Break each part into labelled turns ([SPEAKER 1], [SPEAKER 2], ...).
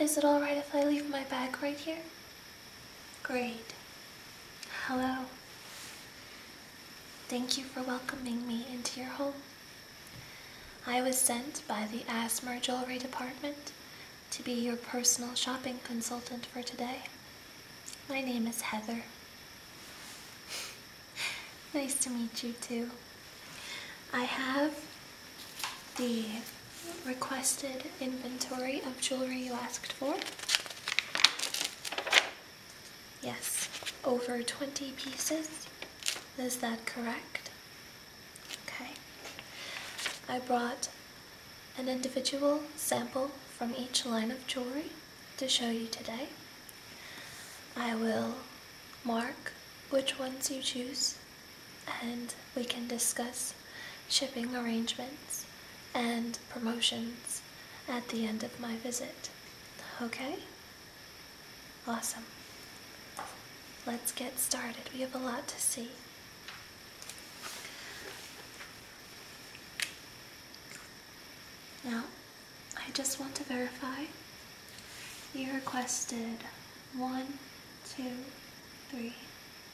[SPEAKER 1] Is it alright if I leave my bag right here? Great. Hello. Thank you for welcoming me into your home. I was sent by the Asmer Jewelry Department to be your personal shopping consultant for today. My name is Heather. nice to meet you too. I have the requested inventory of jewelry you asked for. Yes, over 20 pieces. Is that correct? Okay. I brought an individual sample from each line of jewelry to show you today. I will mark which ones you choose and we can discuss shipping arrangements and promotions at the end of my visit. Okay? Awesome. Let's get started. We have a lot to see. Now, I just want to verify you requested one, two, three,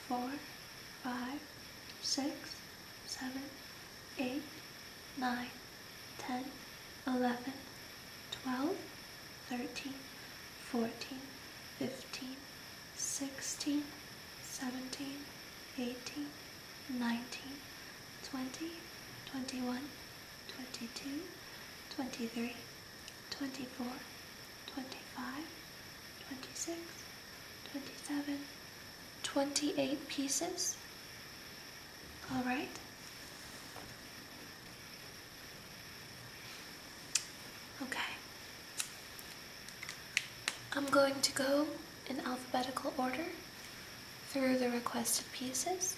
[SPEAKER 1] four, five, six, seven, eight, nine, ten, eleven, twelve, thirteen, fourteen, fifteen, sixteen, seventeen, eighteen, nineteen, twenty, twenty-one, twenty-two, twenty-three. 24, 25, 26, 27, 28 pieces. All right. Okay. I'm going to go in alphabetical order through the requested pieces.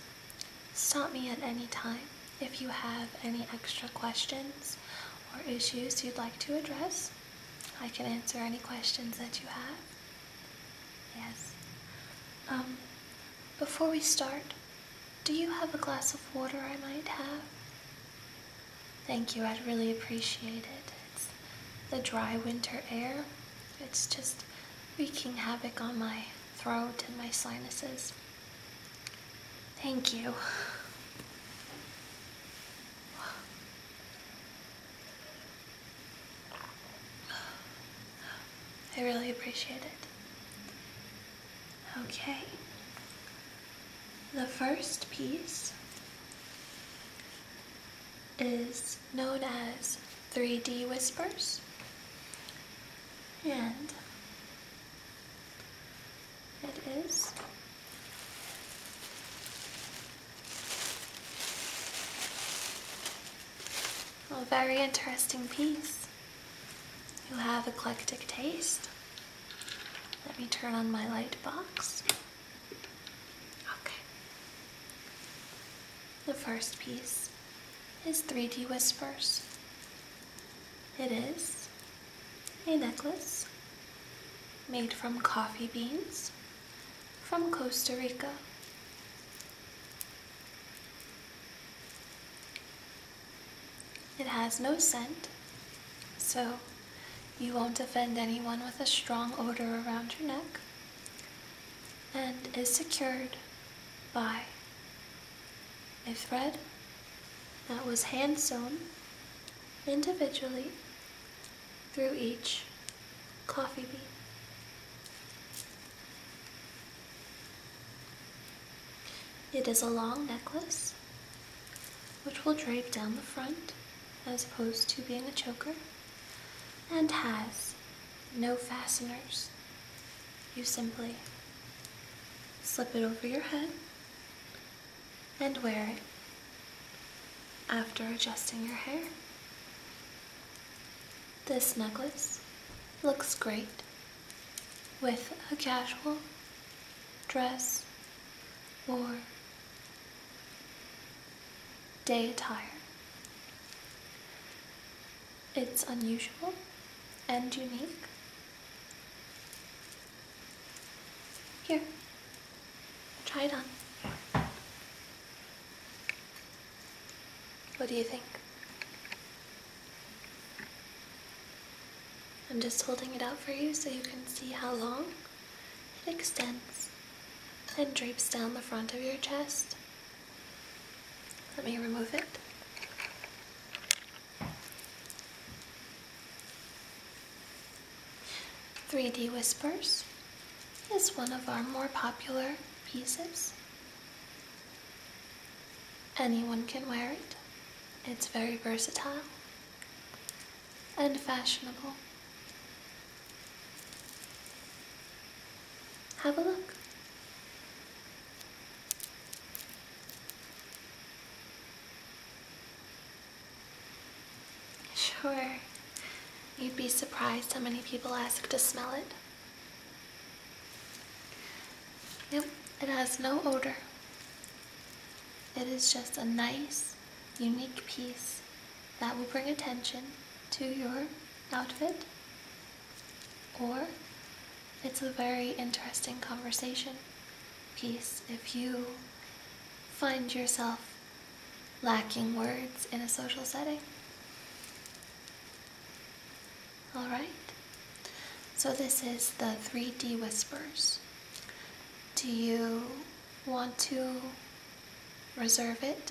[SPEAKER 1] Stop me at any time. If you have any extra questions or issues you'd like to address, I can answer any questions that you have. Yes. Um, before we start, do you have a glass of water I might have? Thank you, I'd really appreciate it. It's the dry winter air. It's just wreaking havoc on my throat and my sinuses. Thank you. I really appreciate it. Okay. The first piece is known as 3D Whispers. And it is. A very interesting piece. You have eclectic taste. Let me turn on my light box. Okay. The first piece is 3D Whispers. It is a necklace made from coffee beans from Costa Rica. It has no scent, so you won't offend anyone with a strong odor around your neck and is secured by a thread that was hand sewn individually through each coffee bean. It is a long necklace which will drape down the front as opposed to being a choker and has no fasteners. You simply slip it over your head and wear it after adjusting your hair. This necklace looks great with a casual dress or day attire. It's unusual and unique here, try it on. What do you think? I'm just holding it out for you so you can see how long it extends and drapes down the front of your chest. Let me remove it. 3D Whispers is one of our more popular pieces. Anyone can wear it. It's very versatile and fashionable. Have a look. Sure. You'd be surprised how many people ask to smell it. Nope, it has no odor. It is just a nice, unique piece that will bring attention to your outfit, or it's a very interesting conversation. Peace. If you find yourself lacking words in a social setting. Alright, so this is the 3D Whispers. Do you want to reserve it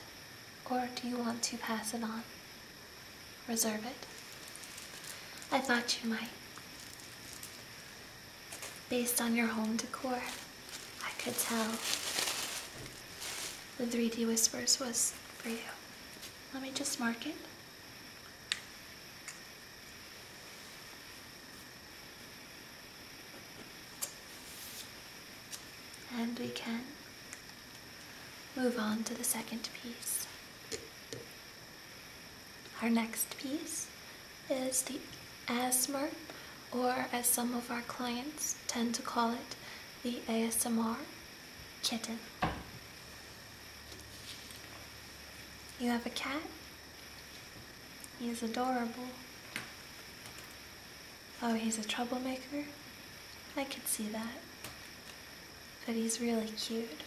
[SPEAKER 1] or do you want to pass it on? Reserve it. I thought you might based on your home decor. I could tell the 3D Whispers was for you. Let me just mark it. And we can move on to the second piece. Our next piece is the ASMR, or as some of our clients tend to call it, the ASMR kitten. You have a cat? He's adorable. Oh, he's a troublemaker? I can see that. But he's really cute.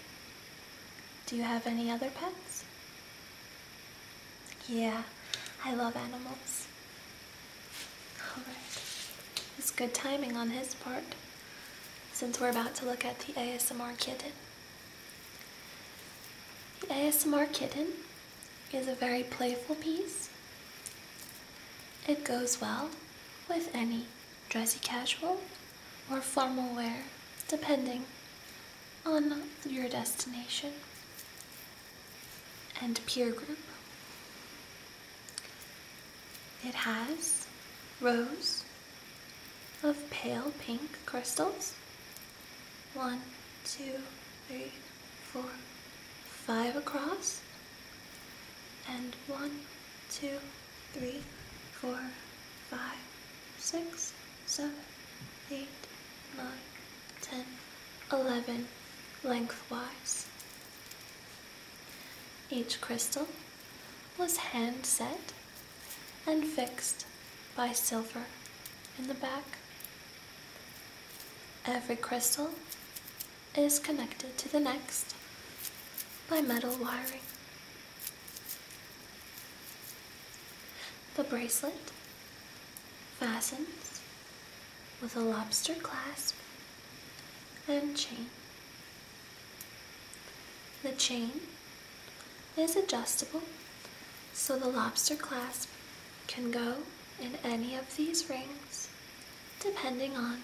[SPEAKER 1] Do you have any other pets? Yeah, I love animals. Alright, it's good timing on his part since we're about to look at the ASMR kitten. The ASMR kitten is a very playful piece. It goes well with any dressy casual or formal wear, depending on your destination and peer group. It has rows of pale pink crystals. One, two, three, four, five across. And one, two, three, four, five, six, seven, eight, nine, ten, eleven lengthwise. Each crystal was hand set and fixed by silver in the back. Every crystal is connected to the next by metal wiring. The bracelet fastens with a lobster clasp and chain. The chain is adjustable so the lobster clasp can go in any of these rings depending on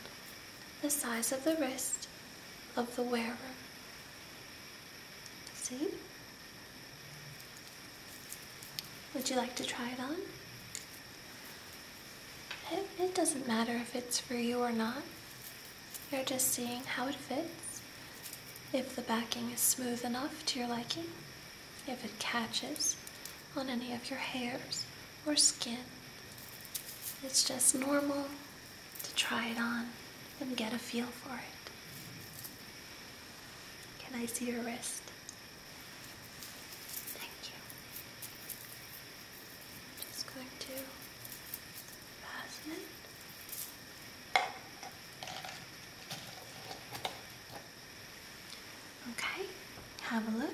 [SPEAKER 1] the size of the wrist of the wearer. See? Would you like to try it on? It, doesn't matter if it's for you or not. You're just seeing how it fits, if the backing is smooth enough to your liking, if it catches on any of your hairs or skin. It's just normal to try it on and get a feel for it. Can I see your wrist? Thank you. just going to fasten Okay, have a look.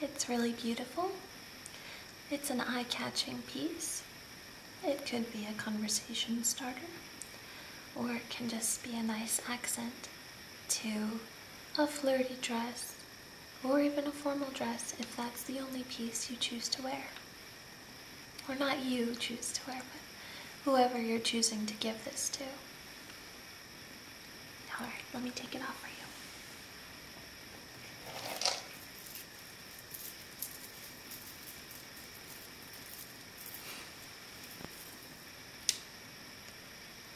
[SPEAKER 1] It's really beautiful. It's an eye-catching piece. It could be a conversation starter, or it can just be a nice accent to a flirty dress, or even a formal dress if that's the only piece you choose to wear. Or not you choose to wear, but whoever you're choosing to give this to. Alright, let me take it off for you.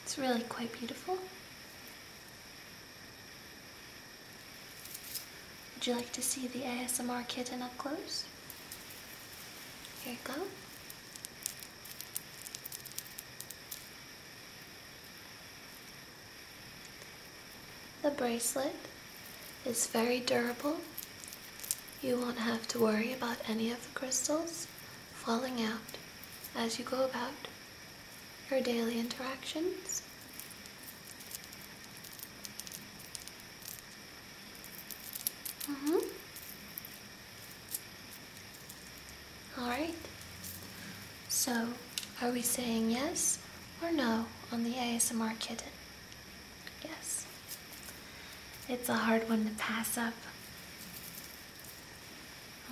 [SPEAKER 1] It's really quite beautiful. Would you like to see the ASMR kitten up close? Here you go. The bracelet is very durable. You won't have to worry about any of the crystals falling out as you go about your daily interactions. Mm -hmm. Alright, so, are we saying yes or no on the ASMR kitten? Yes. It's a hard one to pass up.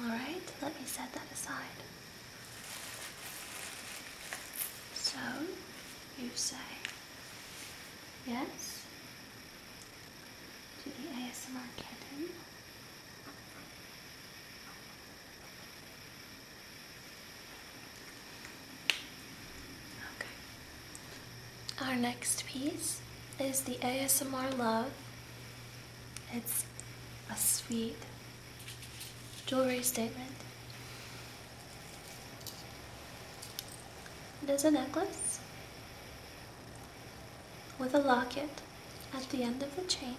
[SPEAKER 1] Alright, let me set that aside. So, you say yes to the ASMR kitten. Our next piece is the ASMR Love. It's a sweet jewelry statement. It is a necklace with a locket at the end of the chain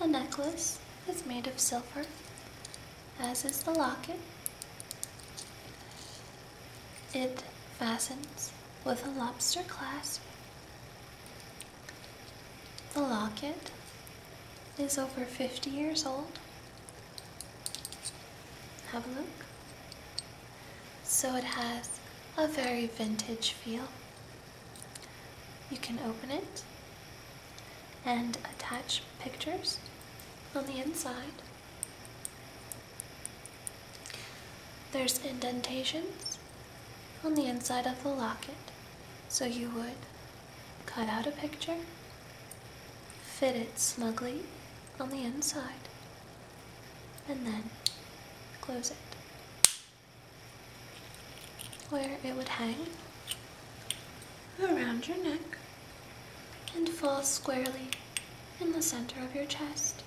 [SPEAKER 1] the necklace is made of silver, as is the locket. It fastens with a lobster clasp. The locket is over 50 years old. Have a look. So it has a very vintage feel. You can open it and attach pictures on the inside. There's indentations on the inside of the locket, so you would cut out a picture, fit it snugly on the inside, and then close it where it would hang around your neck and fall squarely in the center of your chest.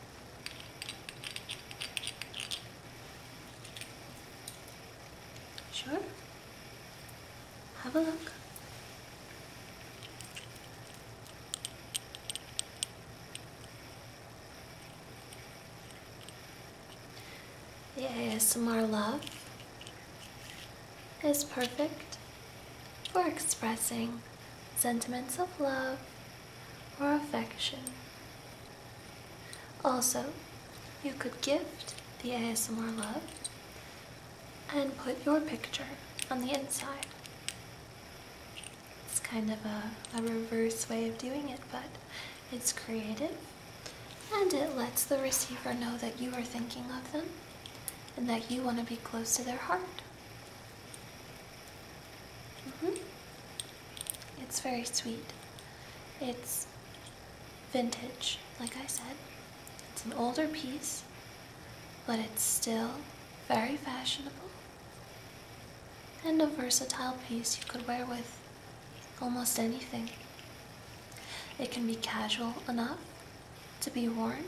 [SPEAKER 1] Sure? Have a look. The ASMR love is perfect for expressing sentiments of love or affection. Also, you could gift the ASMR love and put your picture on the inside. It's kind of a, a reverse way of doing it, but it's creative and it lets the receiver know that you are thinking of them and that you want to be close to their heart. -hmm. It's very sweet. It's vintage, like I said. It's an older piece, but it's still very fashionable and a versatile piece you could wear with almost anything. It can be casual enough to be worn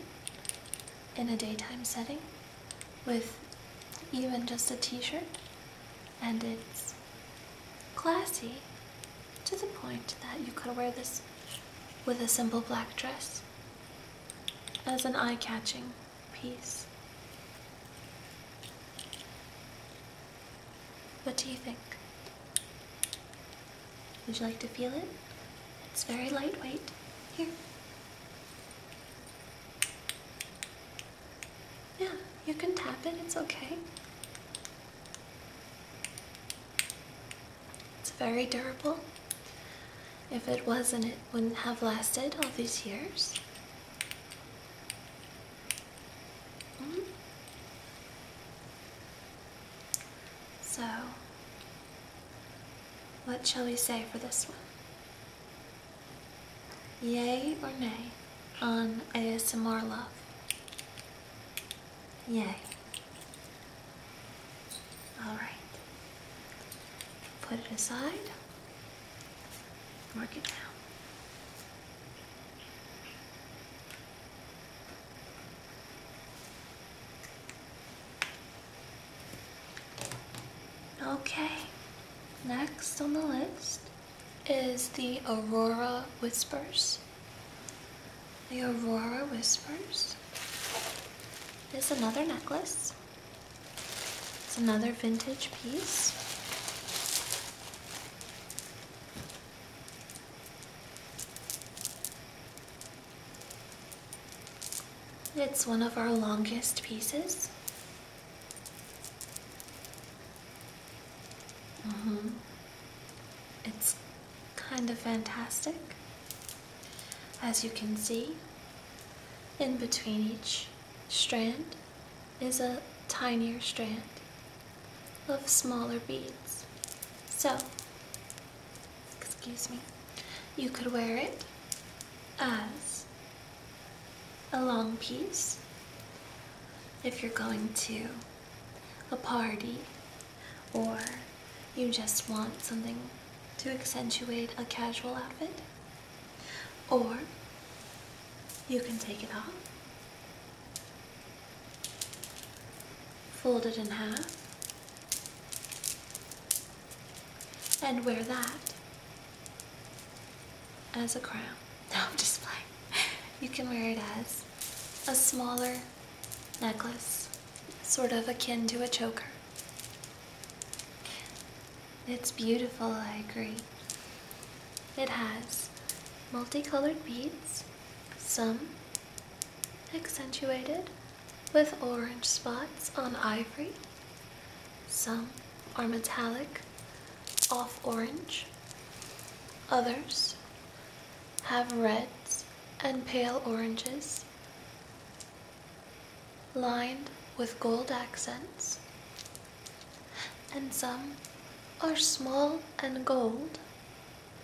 [SPEAKER 1] in a daytime setting with even just a t shirt, and it's classy to the point that you could wear this with a simple black dress as an eye catching piece. What do you think? Would you like to feel it? It's very lightweight. Here. Yeah, you can tap it, it's okay. It's very durable. If it wasn't, it wouldn't have lasted all these years. Mm-hmm. So, what shall we say for this one? Yay or nay on ASMR love? Yay. Alright. Put it aside. Mark it down. Okay, next on the list is the Aurora Whispers. The Aurora Whispers is another necklace. It's another vintage piece. It's one of our longest pieces. -hmm. It's kind of fantastic. As you can see, in between each strand is a tinier strand Love smaller beads. So, excuse me, you could wear it as a long piece if you're going to a party or you just want something to accentuate a casual outfit or you can take it off fold it in half, and wear that as a crown. No, i just playing. You can wear it as a smaller necklace, sort of akin to a choker. It's beautiful, I agree. It has multicolored beads, some accentuated with orange spots on ivory. Some are metallic, off orange. Others have reds and pale oranges lined with gold accents. And some are small and gold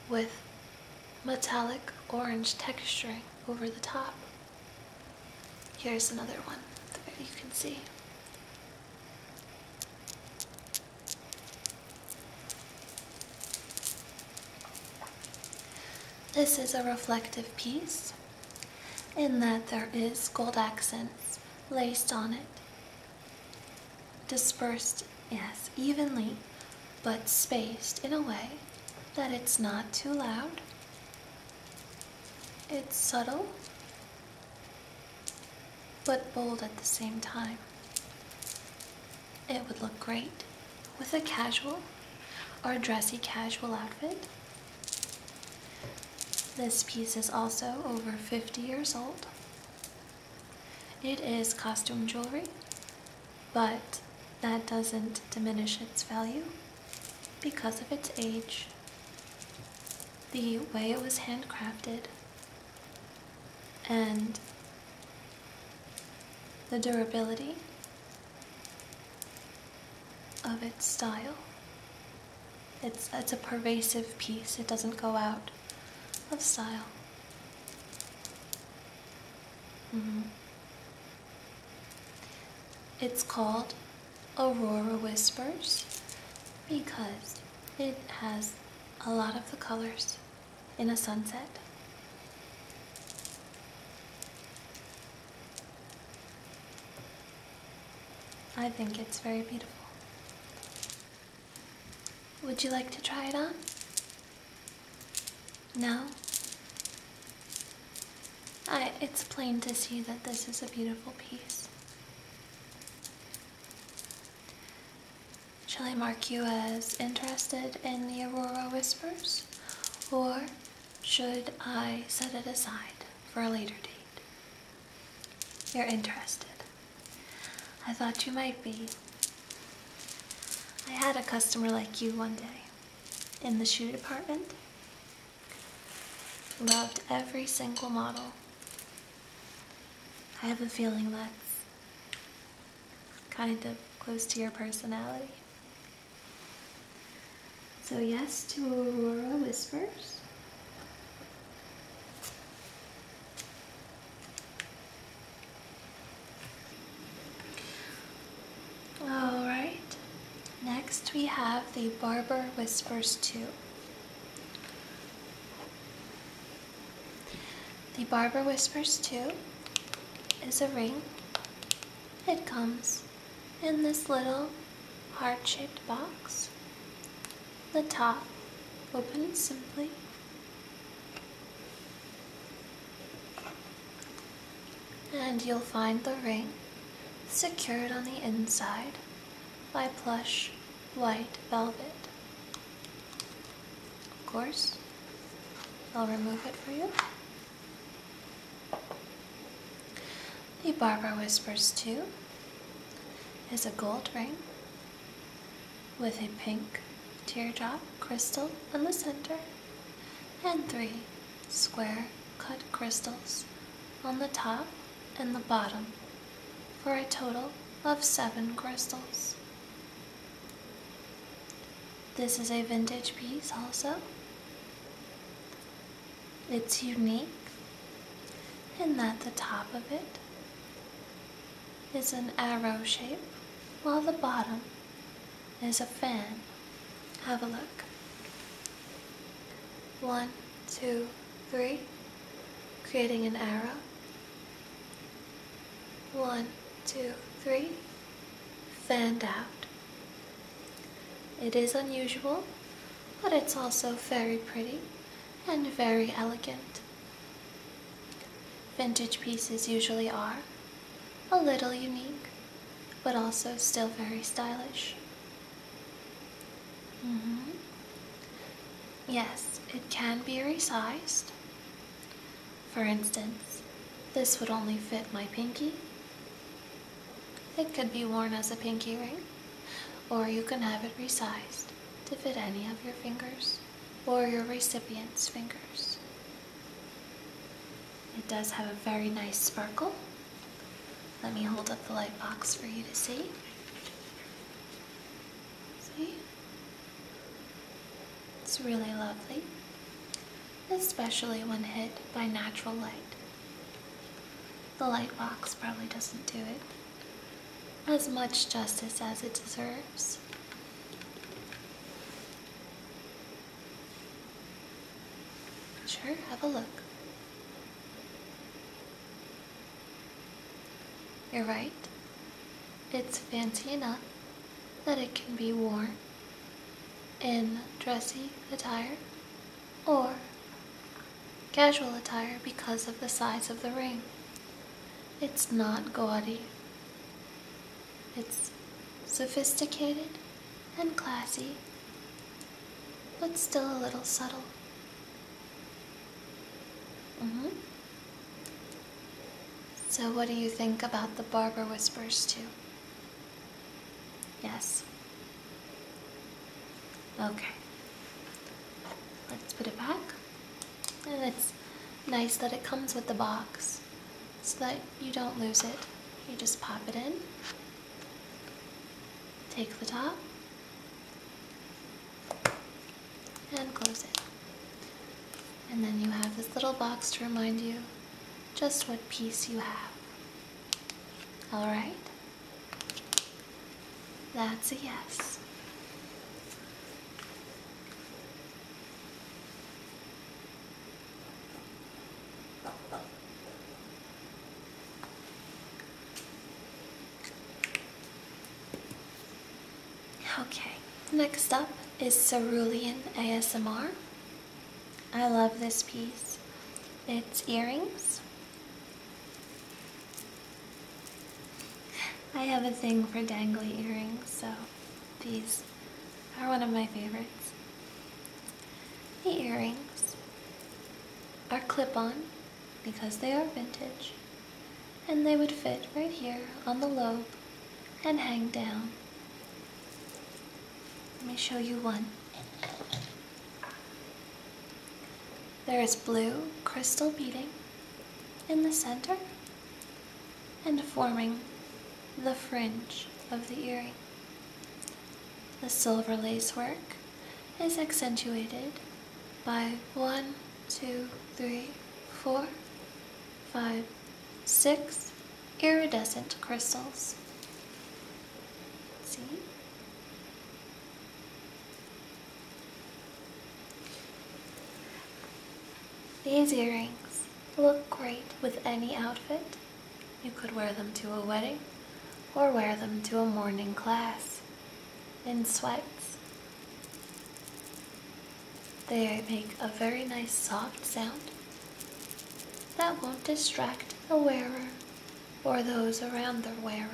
[SPEAKER 1] with metallic orange texturing over the top. Here's another one you can see. This is a reflective piece in that there is gold accents laced on it Dispersed, yes, evenly, but spaced in a way that it's not too loud. It's subtle, but bold at the same time. It would look great with a casual or dressy casual outfit. This piece is also over 50 years old. It is costume jewelry, but that doesn't diminish its value because of its age, the way it was handcrafted, and the durability of its style. It's, it's a pervasive piece, it doesn't go out of style. Mm-hmm. It's called Aurora Whispers because it has a lot of the colors in a sunset. I think it's very beautiful. Would you like to try it on? No? I, it's plain to see that this is a beautiful piece. Shall I mark you as interested in the Aurora Whispers? Or should I set it aside for a later date? You're interested. I thought you might be. I had a customer like you one day in the shoe department. Loved every single model. I have a feeling that's kind of close to your personality. So yes to Aurora Whispers. Alright, next we have the Barber Whispers 2. The Barber Whispers 2 is a ring. It comes in this little heart-shaped box. The top open simply and you'll find the ring secured on the inside by plush white velvet. Of course, I'll remove it for you. The Barbara Whispers 2 is a gold ring with a pink teardrop crystal in the center and three square cut crystals on the top and the bottom for a total of seven crystals. This is a vintage piece also. It's unique in that the top of it is an arrow shape, while the bottom is a fan. Have a look. One, two, three, creating an arrow. One, two, three, fanned out. It is unusual, but it's also very pretty and very elegant. Vintage pieces usually are a little unique, but also still very stylish. Mm-hmm. Yes, it can be resized. For instance, this would only fit my pinky. It could be worn as a pinky ring, or you can have it resized to fit any of your fingers or your recipient's fingers. It does have a very nice sparkle. Let me hold up the light box for you to see. See? It's really lovely, especially when hit by natural light. The light box probably doesn't do it as much justice as it deserves. Sure, have a look. You're right. It's fancy enough that it can be worn in dressy attire or casual attire because of the size of the ring. It's not gaudy. It's sophisticated and classy, but still a little subtle. hmm So what do you think about the Barber Whispers too? Yes. Okay. Let's put it back. And it's nice that it comes with the box so that you don't lose it. You just pop it in, take the top, and close it. And then you have this little box to remind you just what piece you have. Alright? That's a yes. Okay, next up is Cerulean ASMR. I love this piece. It's earrings. I have a thing for dangly earrings, so these are one of my favorites. The earrings are clip-on because they are vintage and they would fit right here on the lobe and hang down. Let me show you one. There is blue crystal beading in the center and forming the fringe of the earring. The silver lace work is accentuated by one, two, three, four, five, six iridescent crystals. See? These earrings look great with any outfit. You could wear them to a wedding or wear them to a morning class in sweats. They make a very nice soft sound that won't distract the wearer or those around the wearer.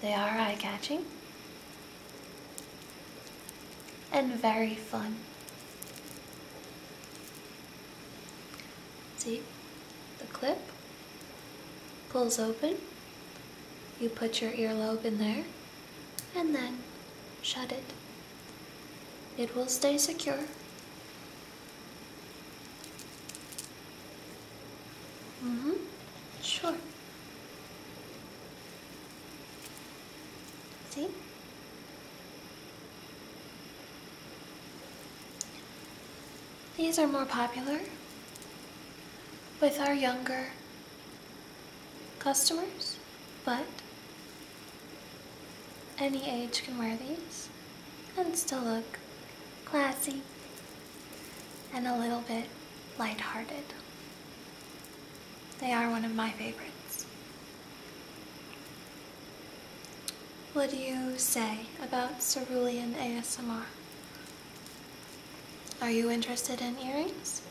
[SPEAKER 1] They are eye-catching and very fun. See, the clip pulls open, you put your earlobe in there, and then shut it. It will stay secure. Mm-hmm. Sure. See? These are more popular with our younger customers, but any age can wear these and still look classy and a little bit lighthearted. They are one of my favorites. What do you say about cerulean ASMR? Are you interested in earrings?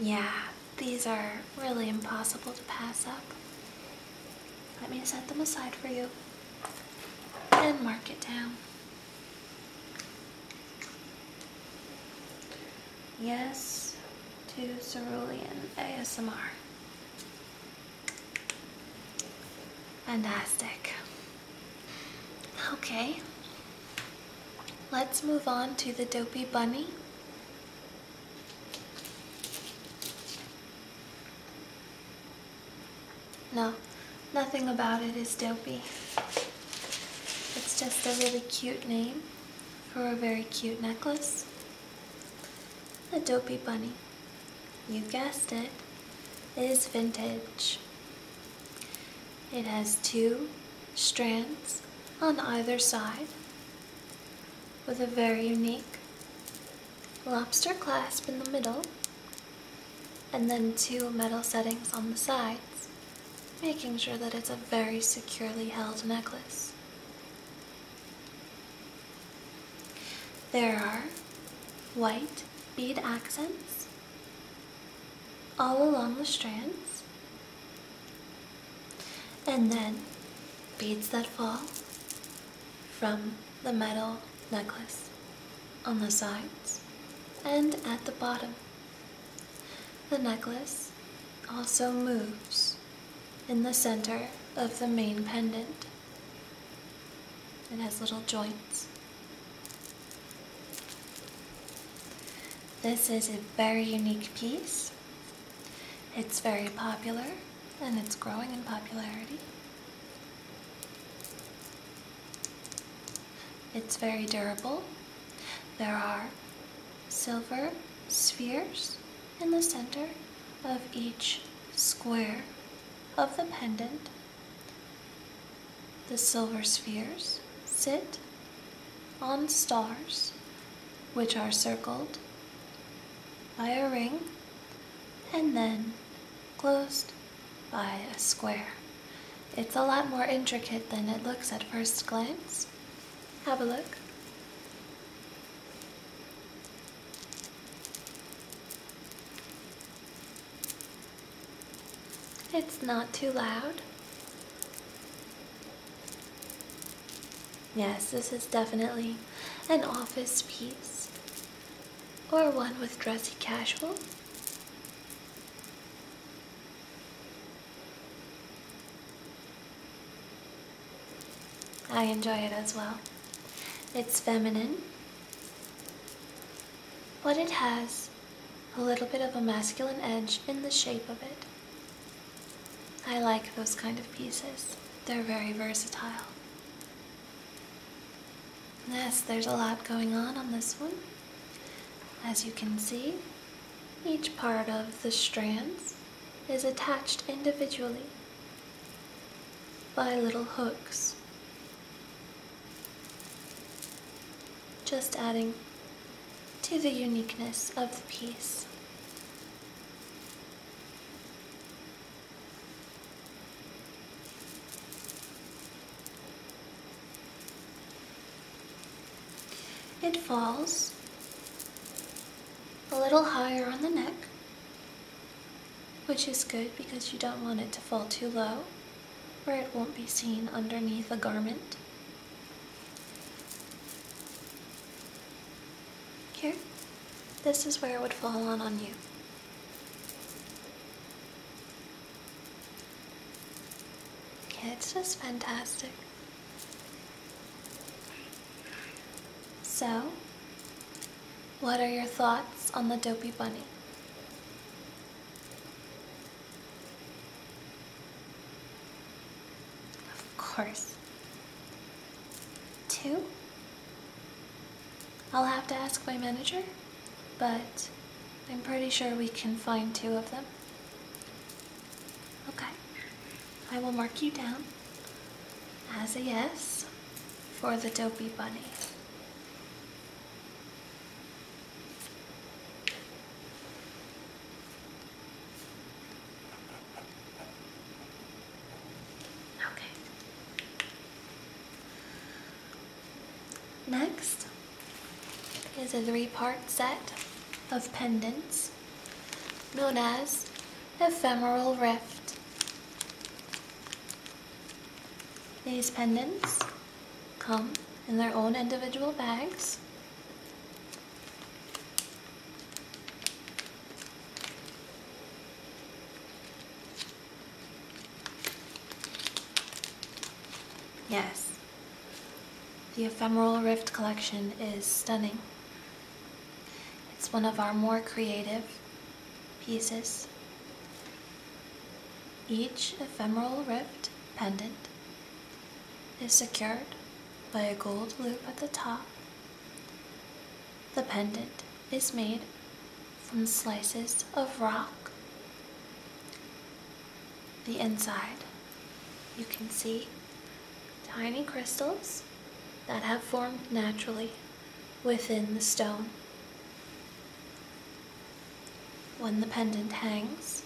[SPEAKER 1] Yeah, these are really impossible to pass up. Let me set them aside for you and mark it down. Yes to Cerulean ASMR. Fantastic. Okay. Let's move on to the dopey bunny. No, nothing about it is dopey. It's just a really cute name for a very cute necklace. A dopey bunny. You guessed it is vintage. It has two strands on either side with a very unique lobster clasp in the middle and then two metal settings on the sides, making sure that it's a very securely held necklace. There are white bead accents all along the strands, and then beads that fall from the metal necklace on the sides and at the bottom. The necklace also moves in the center of the main pendant. It has little joints. This is a very unique piece. It's very popular and it's growing in popularity. It's very durable. There are silver spheres in the center of each square of the pendant. The silver spheres sit on stars which are circled by a ring and then closed by a square. It's a lot more intricate than it looks at first glance. Have a look. It's not too loud. Yes, this is definitely an office piece. Or one with dressy casual. I enjoy it as well. It's feminine. But it has a little bit of a masculine edge in the shape of it. I like those kind of pieces. They're very versatile. Yes, there's a lot going on on this one. As you can see, each part of the strands is attached individually by little hooks. Just adding to the uniqueness of the piece. It falls a little higher on the neck, which is good because you don't want it to fall too low where it won't be seen underneath a garment. Here, this is where it would fall on on you. Yeah, it's just fantastic. So, what are your thoughts on the dopey bunny? Of course. Two? I'll have to ask my manager, but I'm pretty sure we can find two of them. Okay, I will mark you down as a yes for the dopey bunny. Okay. Next, is a three-part set of pendants known as Ephemeral Rift. These pendants come in their own individual bags. Yes, the Ephemeral Rift collection is stunning. It's one of our more creative pieces. Each ephemeral rift pendant is secured by a gold loop at the top. The pendant is made from slices of rock the inside. You can see tiny crystals that have formed naturally within the stone. When the pendant hangs,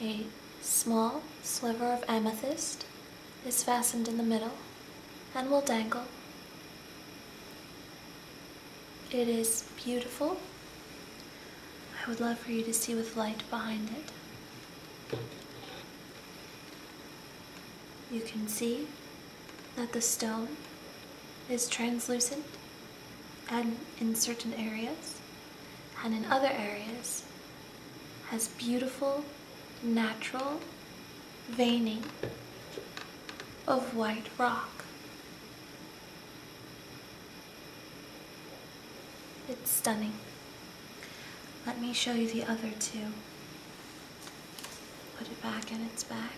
[SPEAKER 1] a small sliver of amethyst is fastened in the middle and will dangle. It is beautiful I would love for you to see with light behind it. You can see that the stone is translucent and in certain areas and in other areas has beautiful natural veining of white rock. It's stunning. Let me show you the other two. Put it back in its bag.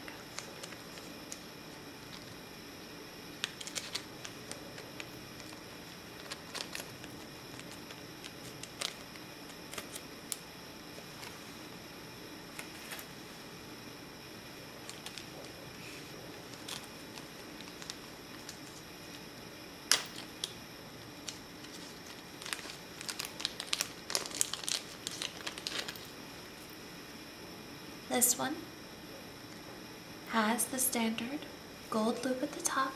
[SPEAKER 1] This one has the standard gold loop at the top,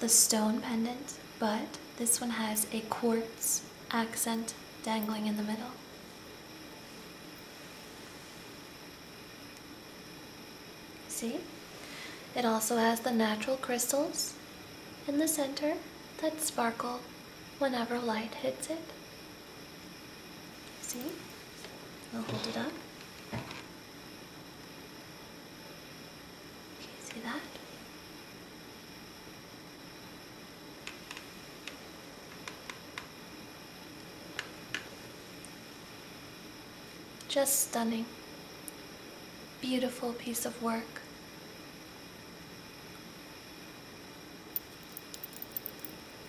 [SPEAKER 1] the stone pendant, but this one has a quartz accent dangling in the middle. See? It also has the natural crystals in the center that sparkle whenever light hits it. See? I'll hold it up. Okay, see that? Just stunning. Beautiful piece of work.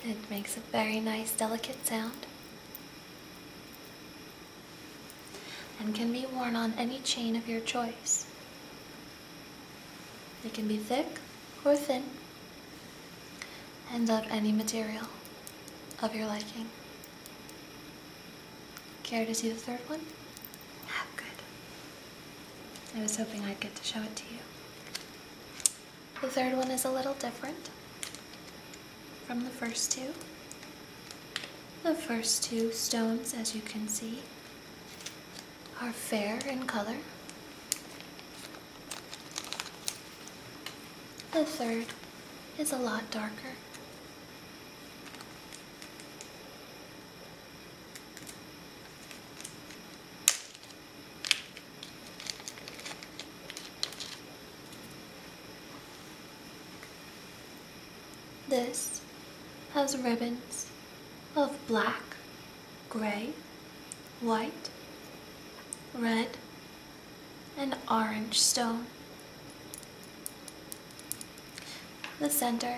[SPEAKER 1] It makes a very nice delicate sound and can be worn on any chain of your choice. It can be thick or thin and of any material of your liking. Care to see the third one? Ah, good. I was hoping I'd get to show it to you. The third one is a little different from the first two. The first two stones, as you can see, are fair in color the third is a lot darker. This has ribbons of black, gray, white, red, an orange stone. The center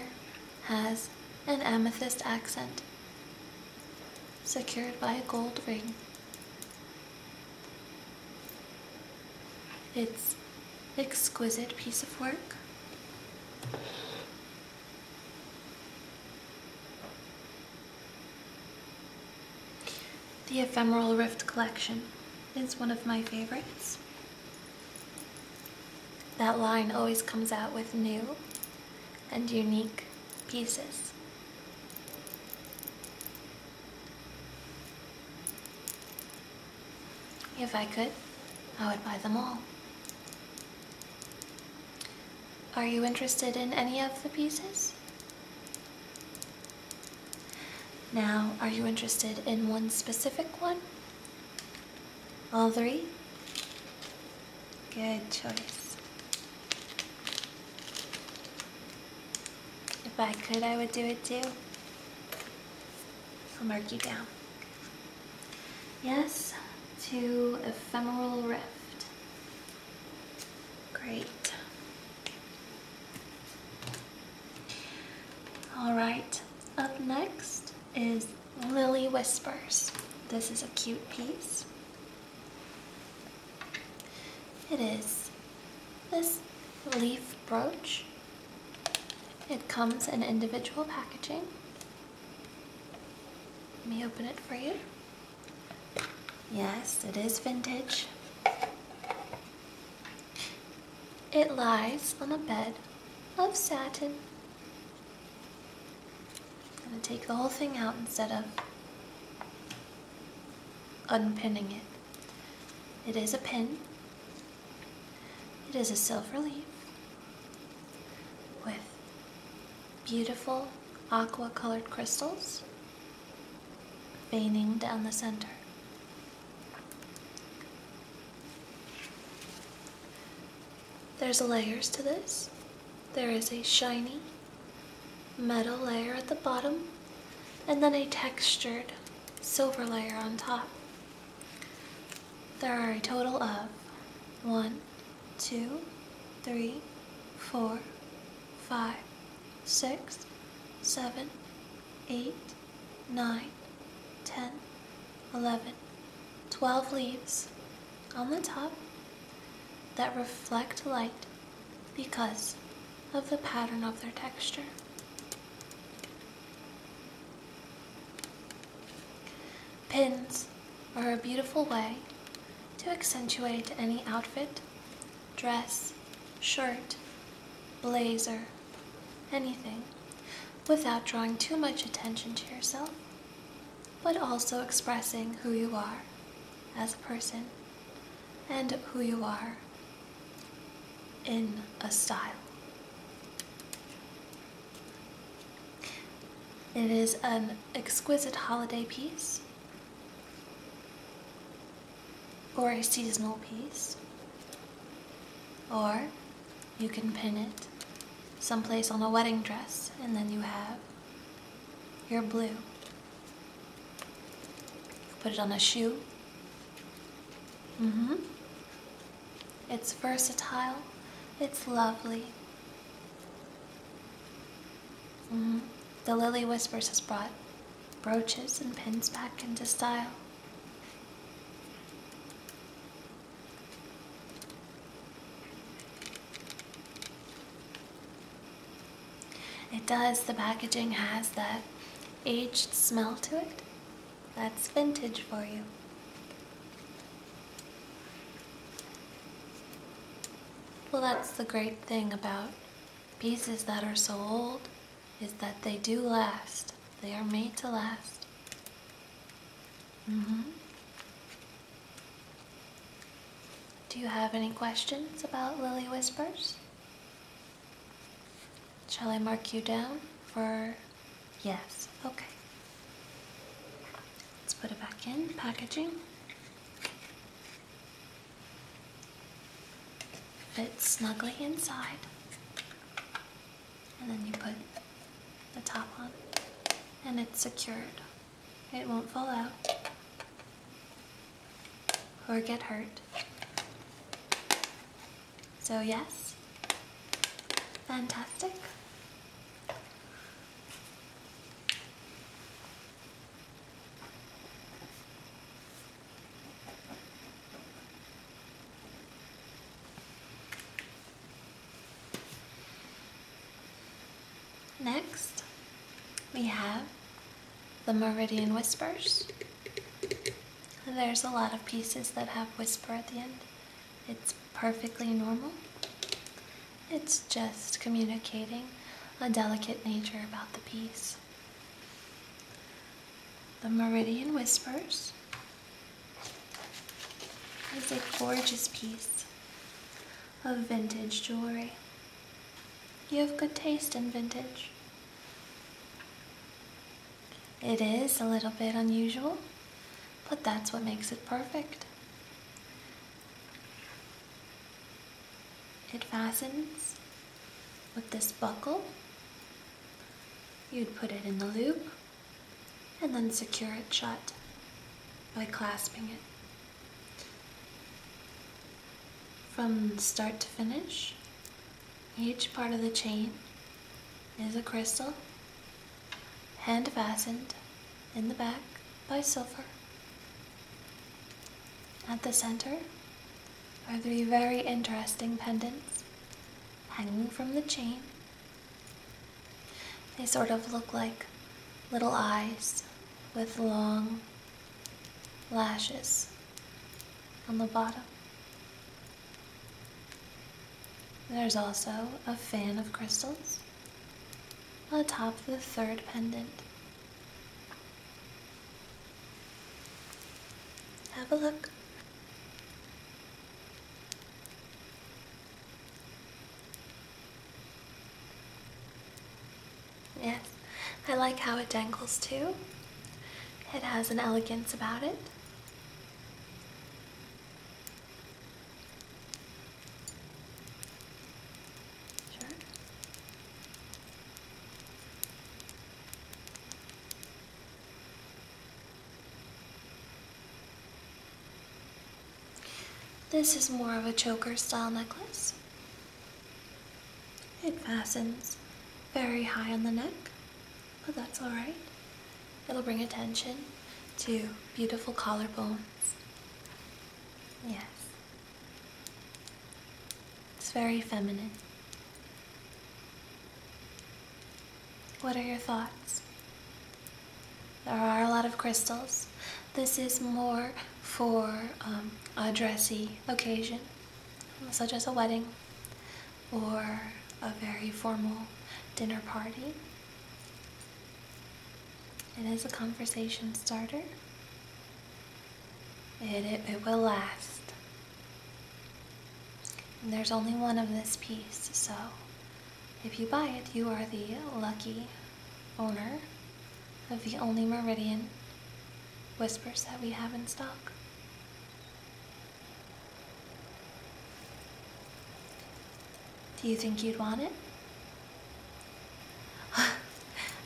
[SPEAKER 1] has an amethyst accent secured by a gold ring. It's exquisite piece of work. The Ephemeral Rift Collection is one of my favorites. That line always comes out with new and unique pieces. If I could, I would buy them all. Are you interested in any of the pieces? Now, are you interested in one specific one? All three? Good choice. If I could, I would do it too. I'll mark you down. Yes, to ephemeral rift. Great. All right, up next is Lily Whispers. This is a cute piece. It is this leaf brooch. It comes in individual packaging. Let me open it for you. Yes, it is vintage. It lies on a bed of satin. I'm going to take the whole thing out instead of unpinning it. It is a pin. It is a silver leaf with beautiful aqua colored crystals veining down the center. There's layers to this. There is a shiny metal layer at the bottom and then a textured silver layer on top. There are a total of one, two, three, four, five, six, seven, eight, nine, ten, eleven, twelve leaves on the top that reflect light because of the pattern of their texture. Pins are a beautiful way to accentuate any outfit dress, shirt, blazer, anything, without drawing too much attention to yourself, but also expressing who you are as a person and who you are in a style. It is an exquisite holiday piece or a seasonal piece, or you can pin it someplace on a wedding dress, and then you have your blue. put it on a shoe. Mm-hmm. It's versatile. It's lovely. Mm-hmm. the Lily Whispers has brought brooches and pins back into style. It does, the packaging has that aged smell to it. That's vintage for you. Well, that's the great thing about pieces that are so old is that they do last. They are made to last. Mm-hmm. Do you have any questions about Lily Whispers? Shall I mark you down for yes? Okay. Let's put it back in packaging. It's snugly inside. And then you put the top on. And it's secured. It won't fall out. Or get hurt. So yes. Fantastic. Next, we have the Meridian Whispers. There's a lot of pieces that have whisper at the end. It's perfectly normal. It's just communicating a delicate nature about the piece. The Meridian Whispers is a gorgeous piece of vintage jewelry. You have good taste in vintage. It is a little bit unusual, but that's what makes it perfect. It fastens with this buckle. You'd put it in the loop and then secure it shut by clasping it. From start to finish, each part of the chain is a crystal, hand fastened in the back by silver at the center are three very interesting pendants hanging from the chain. They sort of look like little eyes with long lashes on the bottom. There's also a fan of crystals atop the third pendant. Have a look. Yes, I like how it dangles too. It has an elegance about it. Sure. This is more of a choker style necklace. It fastens very high on the neck, but that's alright. It'll bring attention to beautiful collarbones. Yes. It's very feminine. What are your thoughts? There are a lot of crystals. This is more for um, a dressy occasion, such as a wedding or a very formal dinner party. It is a conversation starter. It, it, will last. there's only one of this piece, so if you buy it, you are the lucky owner of the only Meridian Whispers that we have in stock. Do you think you'd want it?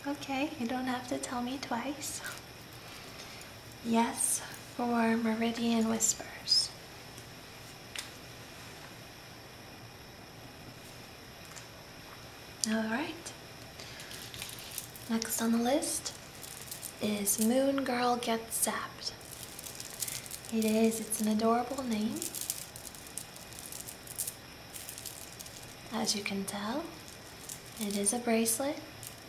[SPEAKER 1] okay, you don't have to tell me twice. Yes for Meridian Whispers. Alright. Next on the list is Moon Girl Gets Zapped. It is, it's an adorable name. As you can tell, it is a bracelet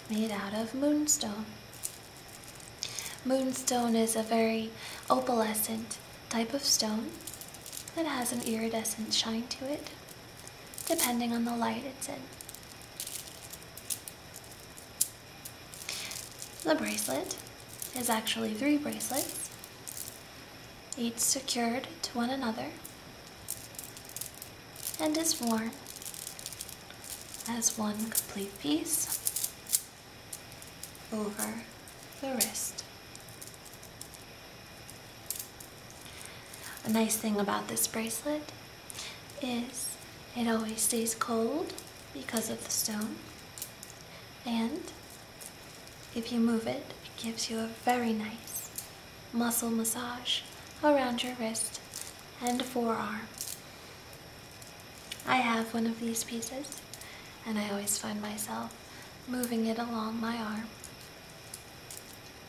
[SPEAKER 1] made out of moonstone. Moonstone is a very opalescent type of stone that has an iridescent shine to it, depending on the light it's in. The bracelet is actually three bracelets, each secured to one another and is worn as one complete piece over the wrist. A nice thing about this bracelet is it always stays cold because of the stone and if you move it, it gives you a very nice muscle massage around your wrist and forearm. I have one of these pieces, and I always find myself moving it along my arm.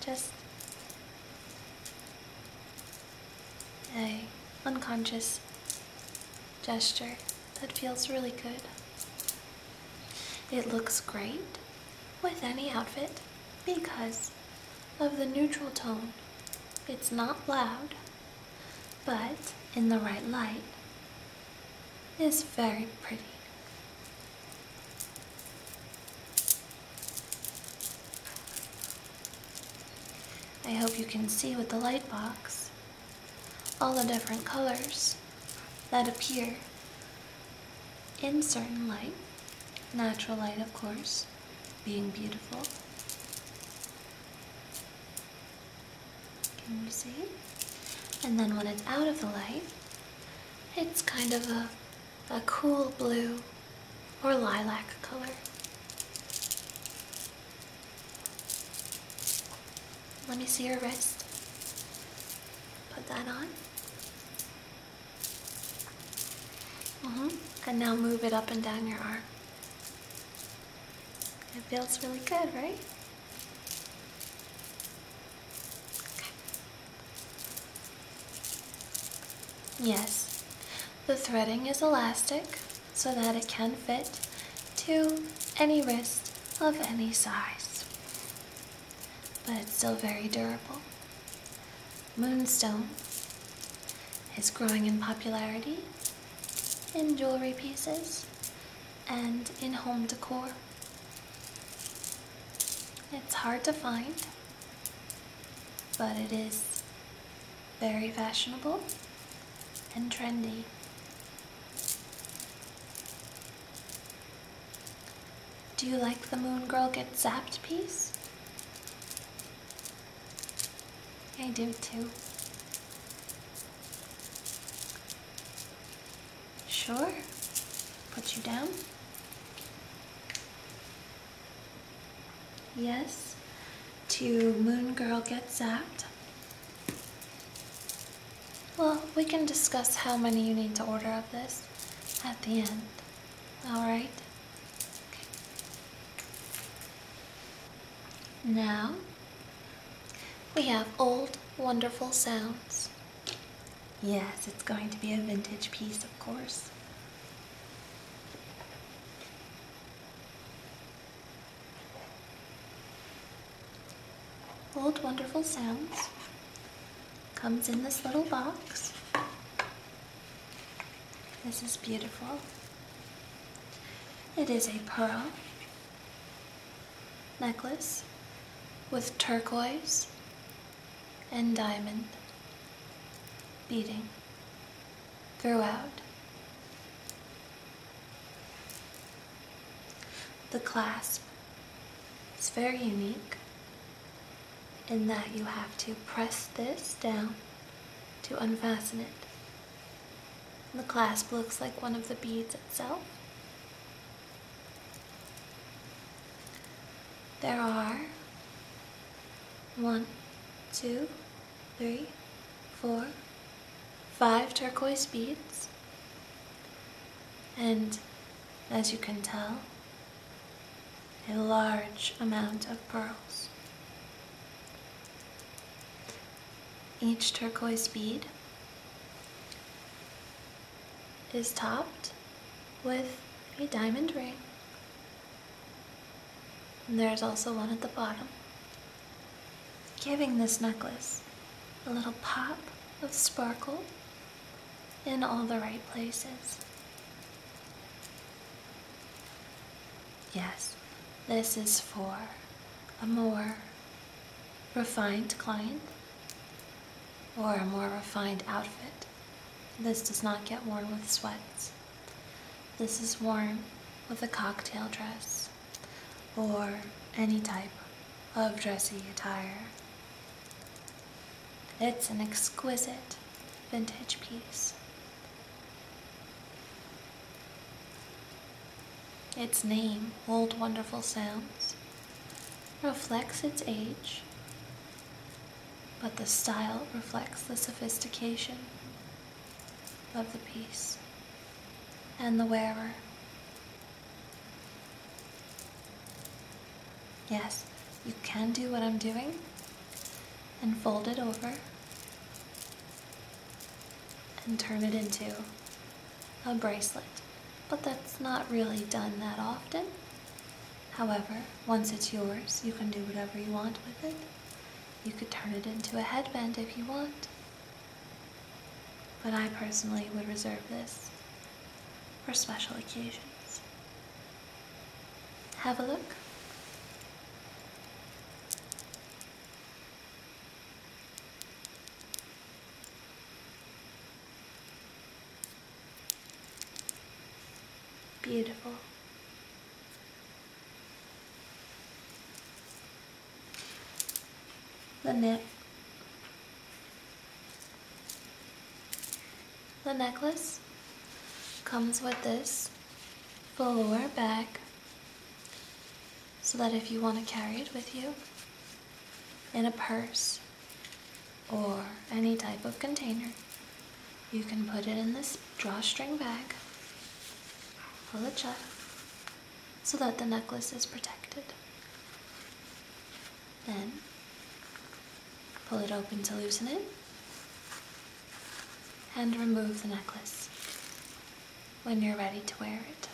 [SPEAKER 1] Just a unconscious gesture that feels really good. It looks great with any outfit because of the neutral tone. It's not loud, but in the right light is very pretty. I hope you can see with the light box all the different colors that appear in certain light, natural light of course, being beautiful. Can you see? And then when it's out of the light, it's kind of a, a cool blue or lilac color. Let me see your wrist. Put that on. Mm -hmm. And now move it up and down your arm. It feels really good, right? Okay. Yes, the threading is elastic so that it can fit to any wrist of any size, but it's still very durable. Moonstone is growing in popularity in jewelry pieces and in home decor. It's hard to find, but it is very fashionable and trendy. Do you like the Moon Girl Get Zapped piece? I do too. Sure. Put you down. Yes. To Moon Girl gets out. Well, we can discuss how many you need to order of this at the end. All right. Now we have old, wonderful sounds. Yes, it's going to be a vintage piece, of course. Old Wonderful Sounds comes in this little box. This is beautiful. It is a pearl necklace with turquoise and diamond beading throughout. The clasp is very unique in that you have to press this down to unfasten it. the clasp looks like one of the beads itself. There are one, two, three, four, five turquoise beads. And as you can tell, a large amount of pearls. Each turquoise bead is topped with a diamond ring. And there's also one at the bottom, giving this necklace a little pop of sparkle in all the right places. Yes, this is for a more refined client or a more refined outfit. This does not get worn with sweats. This is worn with a cocktail dress or any type of dressy attire. It's an exquisite vintage piece its name, Old Wonderful Sounds, reflects its age, but the style reflects the sophistication of the piece and the wearer. Yes, you can do what I'm doing, and fold it over and turn it into a bracelet. But that's not really done that often. However, once it's yours, you can do whatever you want with it. You could turn it into a headband if you want. But I personally would reserve this for special occasions. Have a look. Beautiful. The neck. The necklace comes with this velour bag so that if you want to carry it with you in a purse or any type of container, you can put it in this drawstring bag, pull it shut, so that the necklace is protected. Then, pull it open to loosen it, and remove the necklace when you're ready to wear it.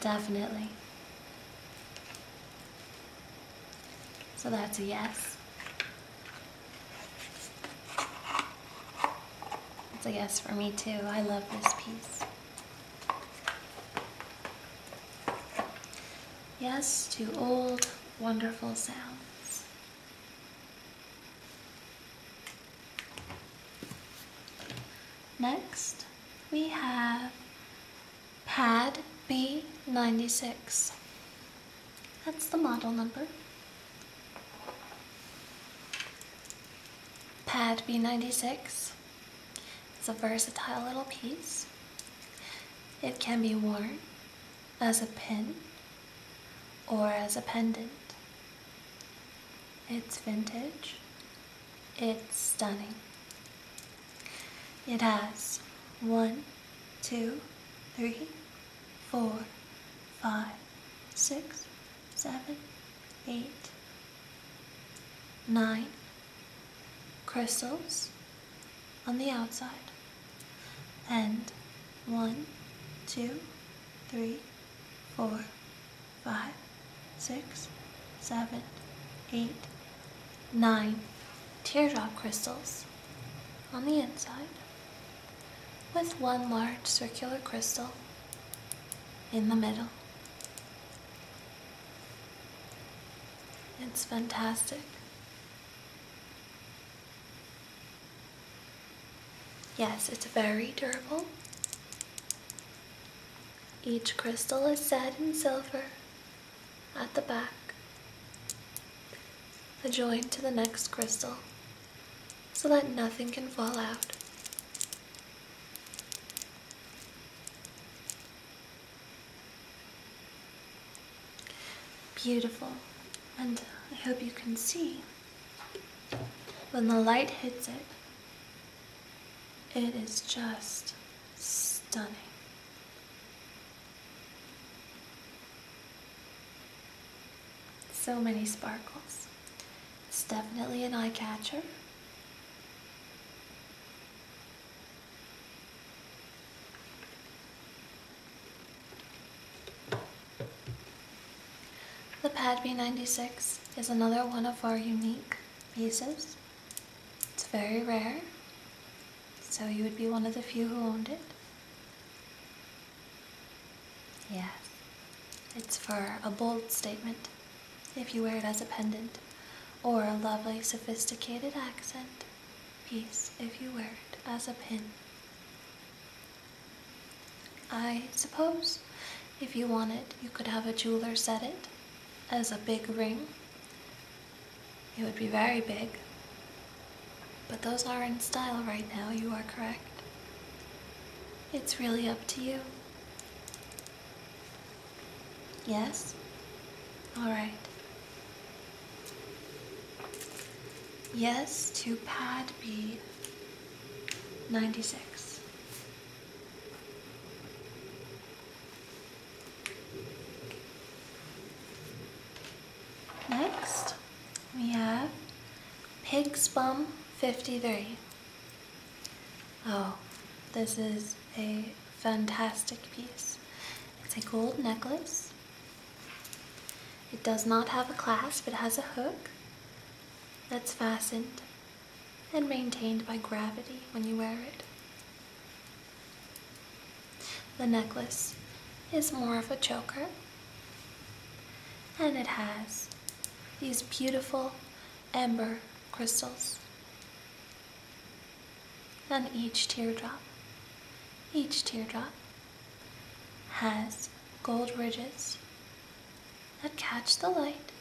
[SPEAKER 1] Definitely. So that's a yes. It's a yes for me too. I love this piece. Yes to old, wonderful sounds. Next, we have pad B96. That's the model number. Pad B96 it's a versatile little piece. It can be worn as a pin or as a pendant. It's vintage. It's stunning. It has one, two, three, four, five, six, seven, eight, nine crystals on the outside. And one, two, three, four, five, six, seven, eight, nine teardrop crystals on the inside with one large circular crystal in the middle. It's fantastic. Yes, it's very durable. Each crystal is set in silver at the back, adjoined to the next crystal, so that nothing can fall out. Beautiful. And I hope you can see when the light hits it, it is just stunning. So many sparkles. It's definitely an eye catcher. The Pad B96 is another one of our unique pieces. It's very rare, so you would be one of the few who owned it. Yes, it's for a bold statement if you wear it as a pendant or a lovely sophisticated accent piece if you wear it as a pin. I suppose if you want it, you could have a jeweler set it as a big ring. It would be very big. But those are in style right now, you are correct. It's really up to you. Yes? All right. Yes to pad B 96. Next, we have Pig's Bum 53. Oh, this is a fantastic piece. It's a gold necklace. It does not have a clasp, it has a hook that's fastened and maintained by gravity when you wear it. The necklace is more of a choker and it has these beautiful amber crystals and each teardrop, each teardrop has gold ridges that catch the light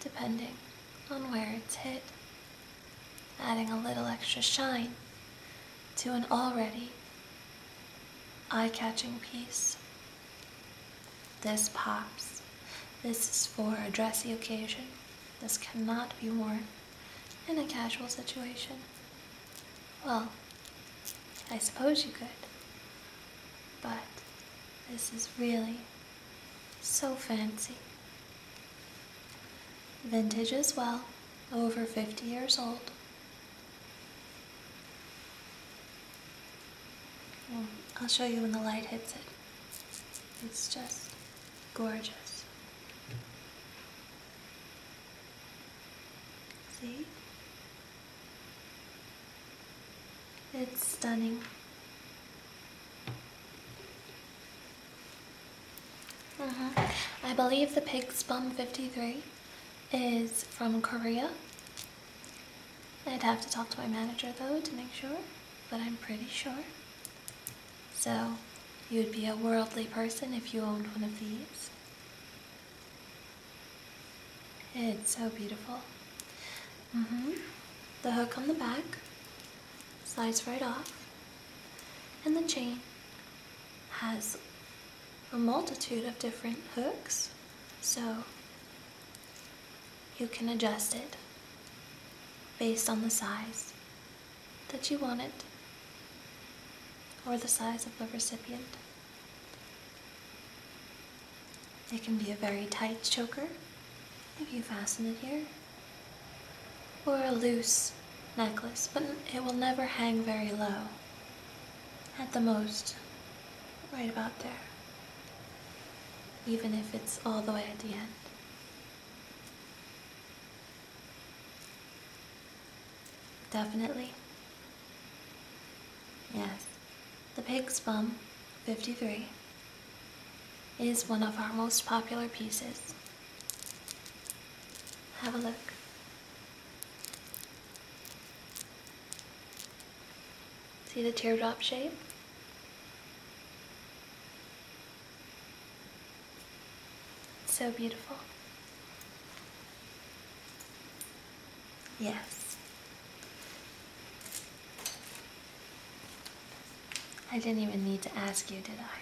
[SPEAKER 1] depending on where it's hit, adding a little extra shine to an already eye-catching piece. This pops. This is for a dressy occasion. This cannot be worn in a casual situation. Well, I suppose you could, but this is really so fancy. Vintage as well, over 50 years old. I'll show you when the light hits it. It's just Gorgeous. See? It's stunning. Uh -huh. I believe the pig's bum 53 is from Korea. I'd have to talk to my manager though to make sure, but I'm pretty sure. So, you would be a worldly person if you owned one of these. It's so beautiful. Mm-hmm. The hook on the back slides right off. And the chain has a multitude of different hooks, so you can adjust it based on the size that you want it, or the size of the recipient. It can be a very tight choker, if you fasten it here, or a loose necklace, but it will never hang very low. At the most, right about there, even if it's all the way at the end. Definitely. Yes. The Pig's Bum, 53, is one of our most popular pieces. Have a look. See the teardrop shape? It's so beautiful. Yes. I didn't even need to ask you, did I?